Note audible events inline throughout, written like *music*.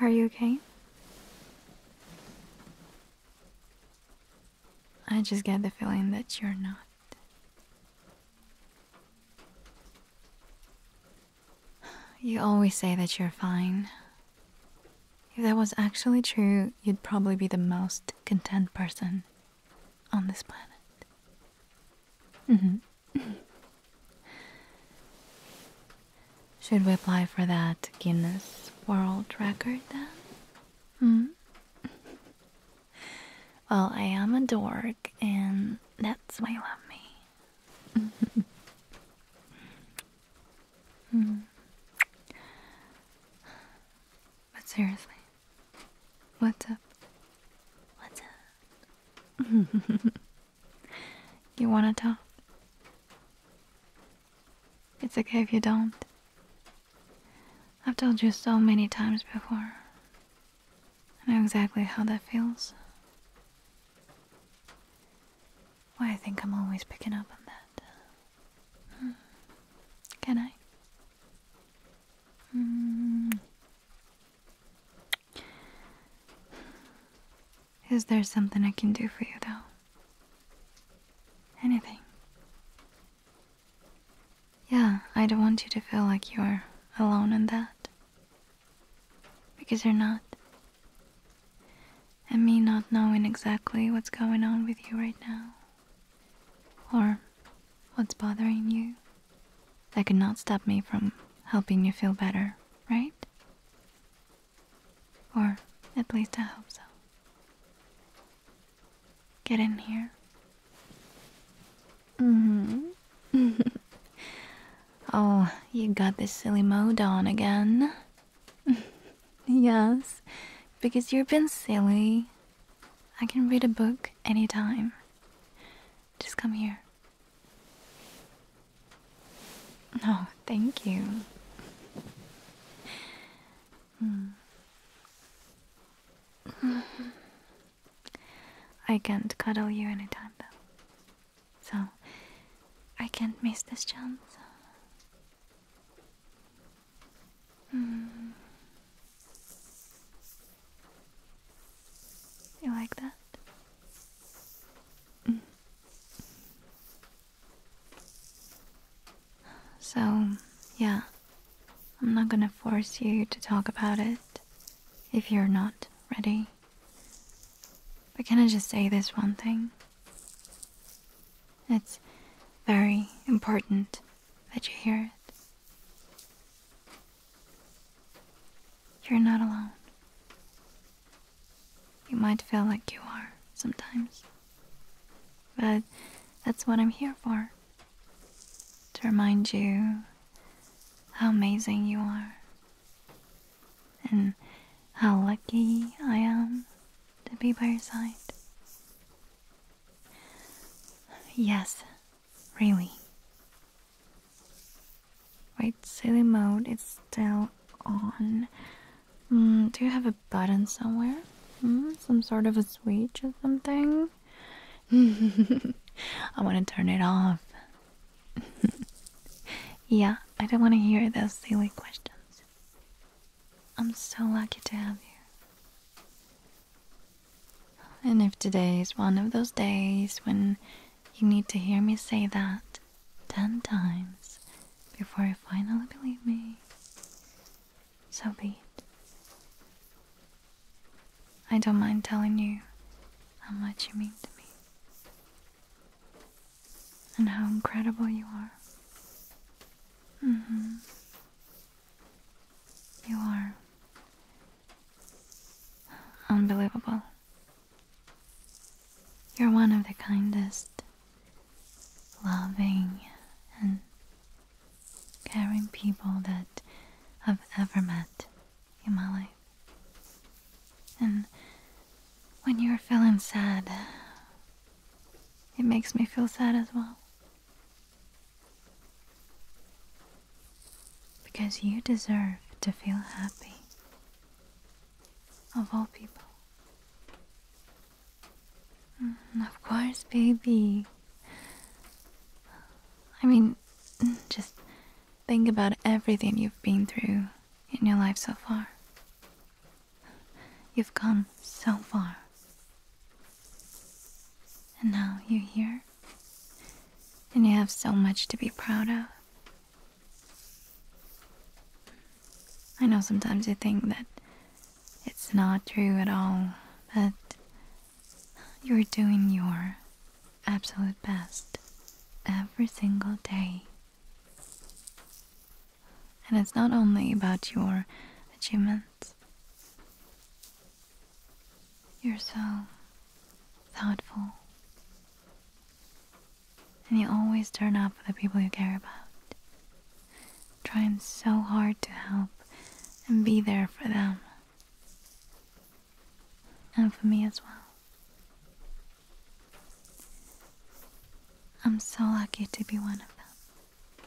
Are you okay? I just get the feeling that you're not. You always say that you're fine. If that was actually true, you'd probably be the most content person on this planet. hmm. *laughs* Should we apply for that Guinness World Record then? Hmm? *laughs* well, I am a dork, and that's why you love me. *laughs* mm. But seriously, what's up? What's up? *laughs* you wanna talk? It's okay if you don't. I've told you so many times before. I know exactly how that feels. Why I think I'm always picking up on that. *gasps* Can I? Mm. Is there something I can do for you, though? Anything? Yeah, I don't want you to feel like you're alone in that. Because you're not. And me not knowing exactly what's going on with you right now or what's bothering you, that could not stop me from helping you feel better, right? Or at least I hope so. Get in here. Mm-hmm. *laughs* oh, you got this silly mode on again. *laughs* yes, because you've been silly. I can read a book anytime. Just come here. No, thank you. Hmm. *laughs* I can't cuddle you anytime though. So, I can't miss this chance. Mm. You like that? Mm. So, yeah, I'm not gonna force you to talk about it if you're not ready. But can I just say this one thing? It's very important that you hear it. You're not alone. You might feel like you are sometimes. But that's what I'm here for. To remind you how amazing you are and how lucky I am to be by your side? Yes, really. Wait, silly mode is still on. Mm, do you have a button somewhere? Hmm, some sort of a switch or something? *laughs* I want to turn it off. *laughs* yeah, I don't want to hear those silly questions. I'm so lucky to have you. And if today is one of those days when you need to hear me say that ten times before you finally believe me, so be it. I don't mind telling you how much you mean to me and how incredible you are. Mm-hmm. You are unbelievable. You're one of the kindest, loving, and caring people that I've ever met in my life. And when you're feeling sad, it makes me feel sad as well. Because you deserve to feel happy. Of all people. Mm, of course, baby. I mean, just think about everything you've been through in your life so far. You've come so far. And now you're here. And you have so much to be proud of. I know sometimes you think that it's not true at all, but you're doing your absolute best every single day. And it's not only about your achievements. You're so thoughtful. And you always turn up for the people you care about. Trying so hard to help and be there for them. And for me as well. I'm so lucky to be one of them.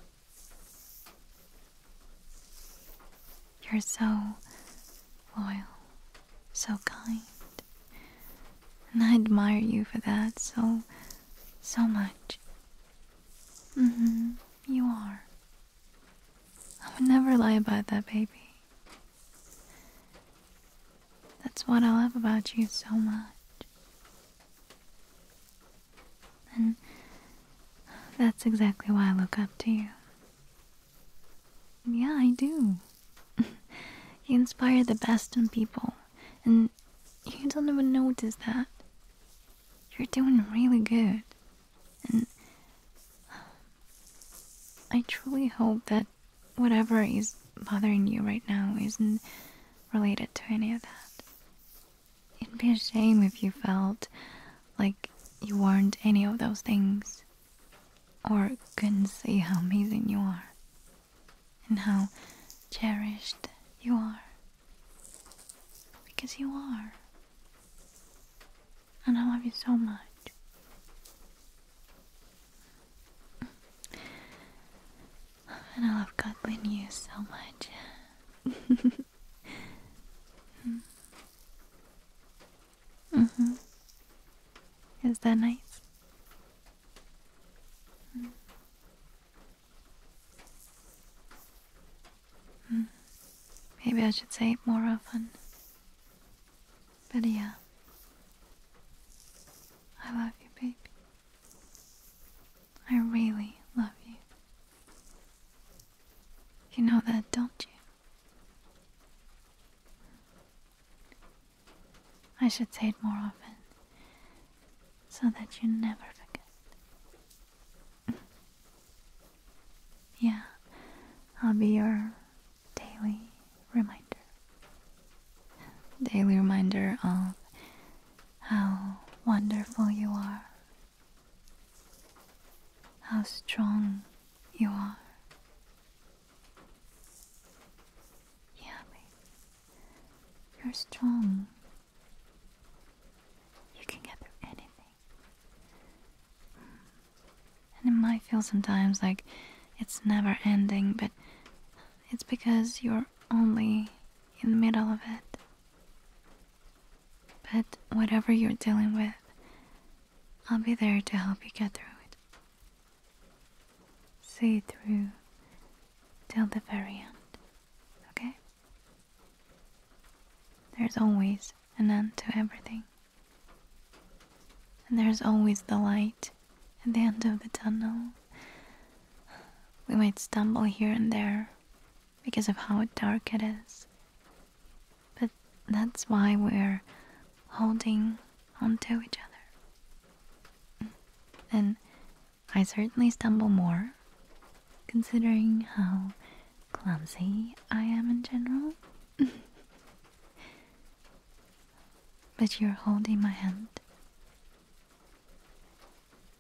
You're so loyal, so kind. And I admire you for that so, so much. Mm hmm, you are. I would never lie about that, baby. That's what I love about you so much. And that's exactly why I look up to you. Yeah, I do. *laughs* you inspire the best in people, and you don't even notice that. You're doing really good. And I truly hope that whatever is bothering you right now isn't related to any of that. It'd be a shame if you felt like you weren't any of those things or couldn't see how amazing you are and how cherished you are. Because you are. And I love you so much. And I love cuddling you so much. *laughs* Mm-hmm. Is that nice? Mm-hmm. Maybe I should say it more often. But yeah, I love you, baby. I really love you. You know that, don't you? I should say it more often so that you never forget. yeah, I'll be your daily reminder. Daily reminder of how wonderful you are, how strong you are. Yeah, babe. You're strong. You can get through anything. Mm. And it might feel sometimes like it's never ending, but it's because you're only in the middle of it. But whatever you're dealing with, I'll be there to help you get through it. See through till the very end, okay? There's always an end to everything. And there's always the light at the end of the tunnel. We might stumble here and there because of how dark it is. But that's why we're holding onto each other. And I certainly stumble more, considering how clumsy I am in general. *laughs* But you're holding my hand,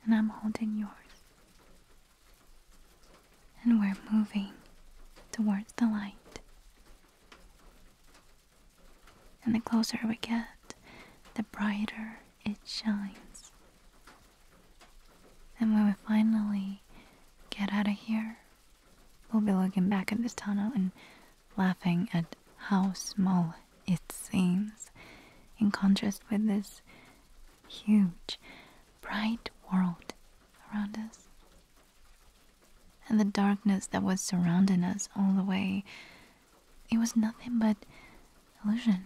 and I'm holding yours. And we're moving towards the light. And the closer we get, the brighter it shines. And when we finally get out of here, We'll be looking back at this tunnel and laughing at how small it seems in contrast with this huge, bright world around us. And the darkness that was surrounding us all the way, it was nothing but illusion.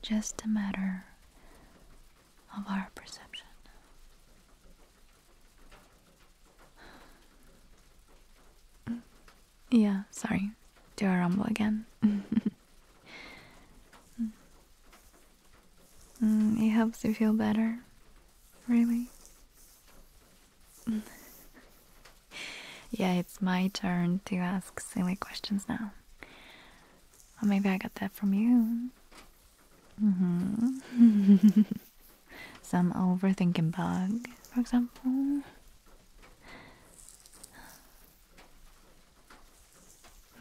Just a matter of our perception. Mm. Yeah, sorry. Do a rumble again? *laughs* Mm, it helps you feel better. Really? *laughs* yeah, it's my turn to ask silly questions now. maybe I got that from you. Mm-hmm. *laughs* Some overthinking bug, for example.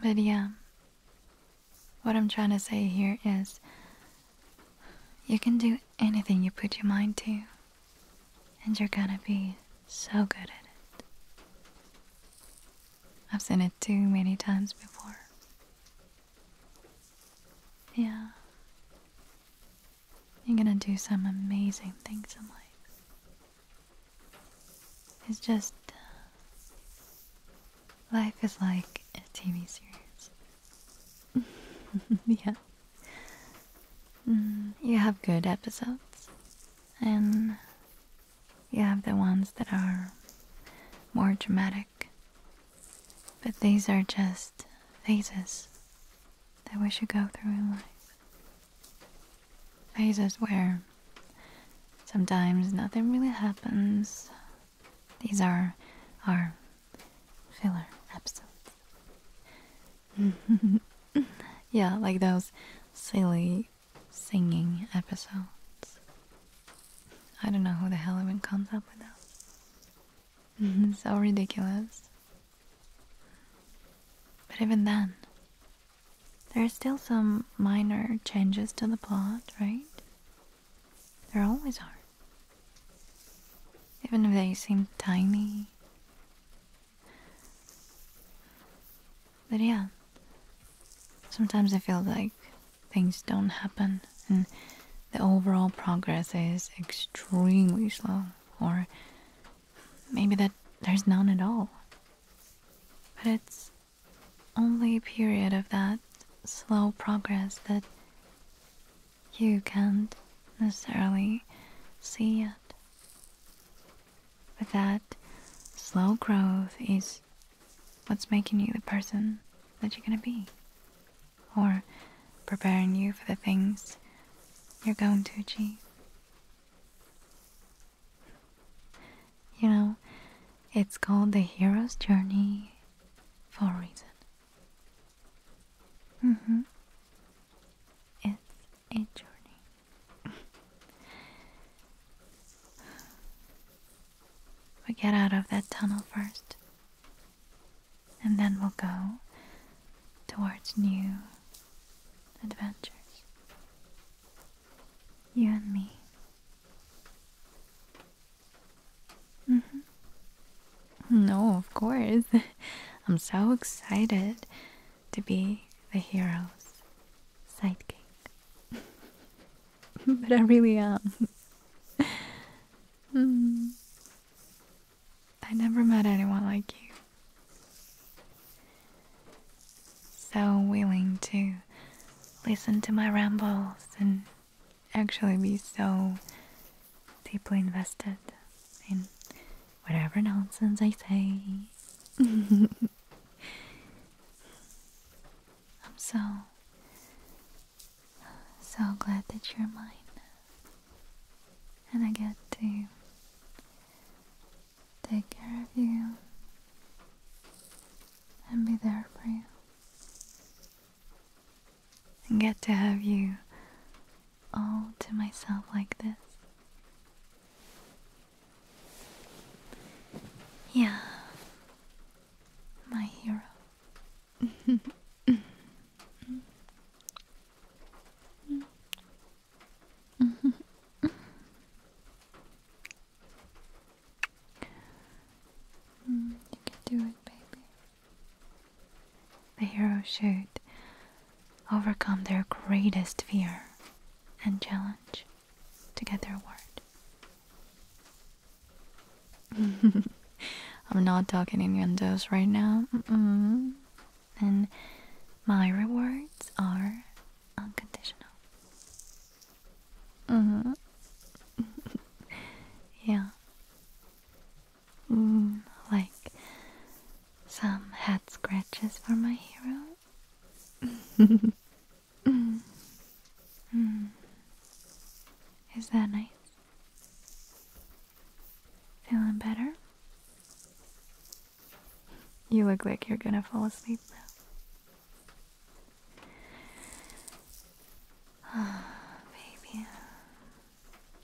But yeah, what I'm trying to say here is you can do anything you put your mind to, and you're gonna be so good at it. I've seen it too many times before. Yeah. You're gonna do some amazing things in life. It's just. Uh, life is like a TV series. *laughs* yeah. Mm, you have good episodes, and you have the ones that are more dramatic. But these are just phases that we should go through in life. Phases where sometimes nothing really happens. These are our filler episodes. *laughs* yeah, like those silly singing episodes. I don't know who the hell even comes up with that. *laughs* so ridiculous. But even then, there are still some minor changes to the plot, right? There always are. Even if they seem tiny. But yeah, sometimes I feel like things don't happen and the overall progress is extremely slow, or maybe that there's none at all. But it's only a period of that slow progress that you can't necessarily see yet. But that slow growth is what's making you the person that you're going to be, or preparing you for the things you're going to achieve. You know, it's called the hero's journey for a reason. Mm-hmm. It's a journey. we get out of that tunnel first, and then we'll go towards new adventures. You and me. Mm-hmm. No, of course. *laughs* I'm so excited to be the hero's sidekick. *laughs* but I really am. *laughs* Hmm. I never met anyone like you. So willing to listen to my rambles and actually be so deeply invested in whatever nonsense I say. *laughs* I'm so, so glad that you're mine. And I get to take care of you and be there for you. And get to have you all to myself like this. Yeah, my hero. you can do it, baby. The hero shirt overcome their greatest fear and challenge to get their reward. *laughs* I'm not talking innuendos right now. Mm-mm. And my rewards are unconditional. Mm-hmm. *laughs* yeah. Mm, like, some head scratches for my hero. *laughs* Is that nice? Feeling better? You look like you're gonna fall asleep now. *sighs* baby.